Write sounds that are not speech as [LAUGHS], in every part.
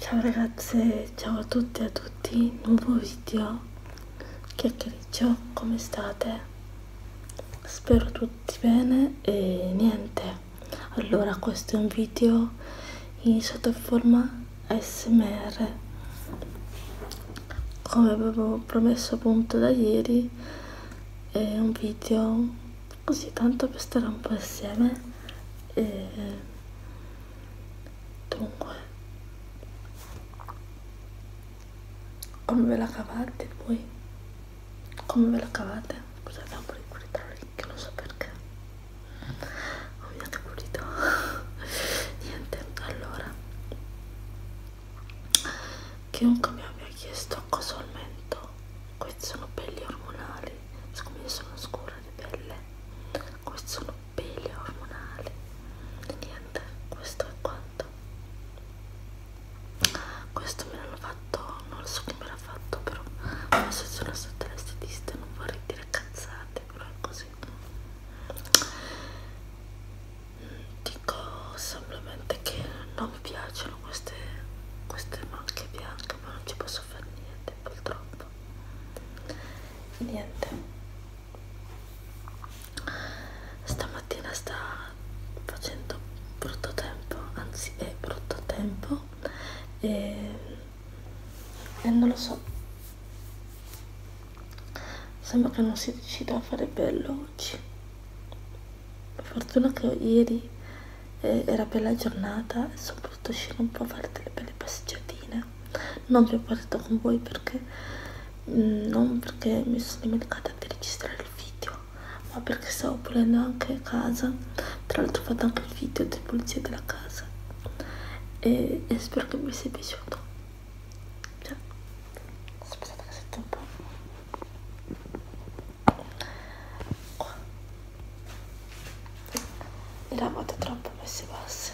Ciao ragazze, ciao a tutte e a tutti, nuovo video, chiacchiericcio, come state? Spero tutti bene e niente, allora questo è un video in sottoforma ASMR come avevo promesso appunto da ieri è un video così tanto per stare un po' insieme e dunque come ve la cavate voi? come ve la cavate? scusate ho pure pulito l'orecchio non so perché ovviamente pulito [LAUGHS] niente allora chiunque mi abbia chiesto cosa ho al mento queste sono pelli ormonali siccome io sono scura di pelle queste sono pelli ormonali e niente questo è quanto questo me l'hanno fatto non lo so chi me l'ha fatto però adesso sono stata l'estetista non vorrei dire cazzate però è così dico semplicemente che non non mi piacciono queste, queste macchie bianche ma non ci posso fare niente purtroppo niente stamattina sta facendo brutto tempo anzi è brutto tempo e, e non lo so sembra che non si decida a fare bello oggi fortuna che ieri eh, era bella giornata e sono potuto uscire un po' a fare delle belle passeggiatine non vi ho parlato con voi perché mh, mm, non perché mi sono dimenticata di registrare il video ma perché stavo pulendo anche casa tra l'altro ho fatto anche il video di pulizia della casa e, e spero che vi sia piaciuto cioè, aspettate che sento un po' qua le lavate troppo messe basse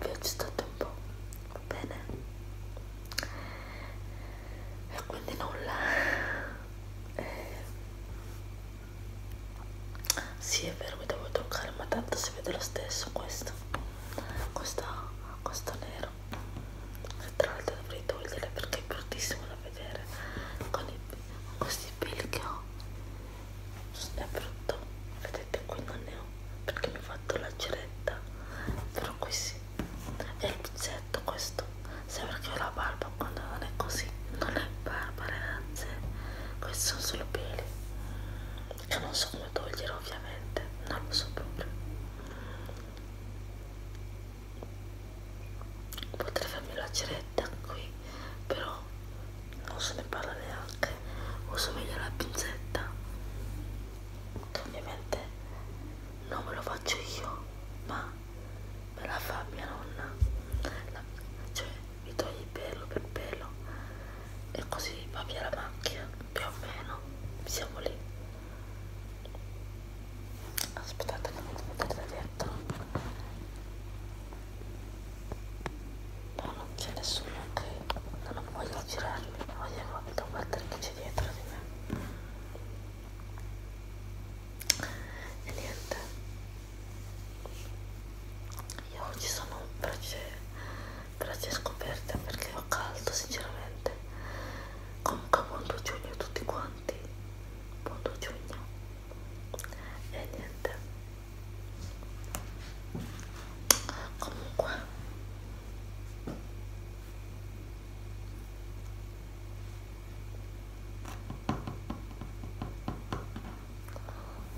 vi ho agitato un po' va bene e quindi nulla eh. sì è vero mi devo toccare ma tanto si vede lo stesso questo questo, questo nero che tra l'altro dovrei togliere perché è bruttissimo da vedere con, i, con questi peli che ho è brutto vedete qui non ne ho perché mi ho fatto la ceretta però qui sì è il pizzetto questo sembra che ho la barba quando non è così non è barba ragazze questi sono solo peli che non so come togliere ovviamente non lo so proprio potrei farmi la ceretta qui però non se ne parla neanche uso meglio la pinzetta ovviamente non me lo faccio io ma me la fa mia nonna la, cioè mi toglie pelo per pelo e così va via la macchia più o meno siamo lì aspettate che non vedete dietro no non c'è nessuno ok no, non voglio girarmi voglio guardare che c'è dietro di me e niente io oggi sono invece grazie a scoperta perché ho caldo sinceramente comunque buon 2 giugno a tutti quanti buon 2 giugno e niente comunque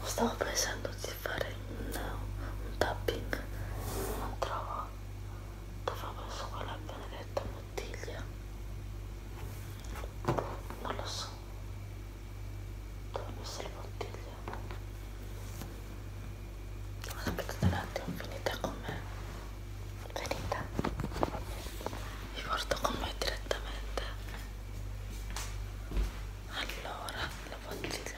stavo pensando di di fare un, un tapping non trovo dove ho messo quella benedetta bottiglia non lo so dove ho messo la bottiglia aspettate un attimo venite con me venite vi porto con me direttamente allora la bottiglia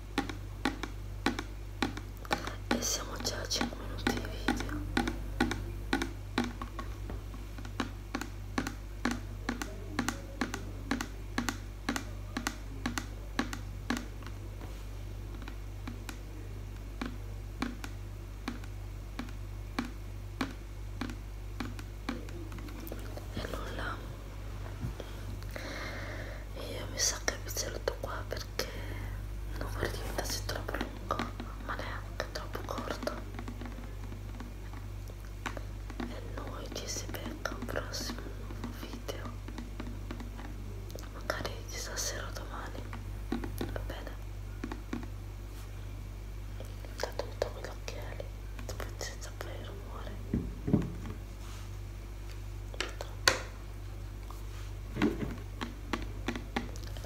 e siamo già a 5 minuti di video e nulla e io mi sa che mi saluto qua perché non vorrei diventasse troppo lungo ma neanche troppo corto e noi ci si becca un prossimo nuovo video magari chissà sera o domani va bene ho dato tutto con gli occhiali senza fare rumore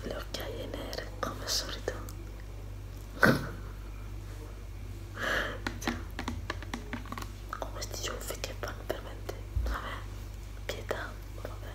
le occhiaie nere come al solito con questi ciuffi che fanno veramente vabbè pietà vabbè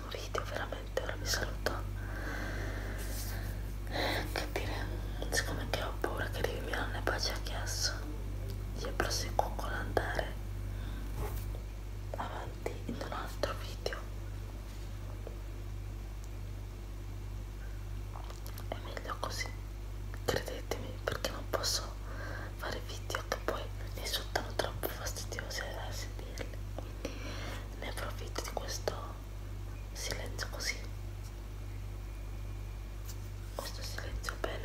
prossimo video veramente ora vi saluto che dire siccome che ho paura che arrivi mia nonna e poi ci ha chiesto io proseguo con l'andare avanti in un altro video è meglio così credetemi perché non posso fare video che poi risultano troppo fastidiosi da eh, sentire mille ne approfitto di questo silenzio così questo silenzio bello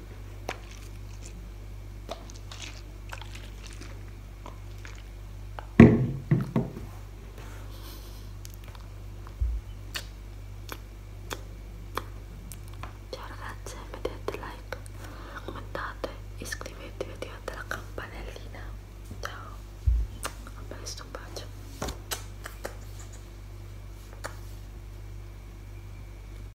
Ciao ragazze, mettete like, commentate, iscrivetevi, attivate la campanellina. Ciao, a presto, un bacio.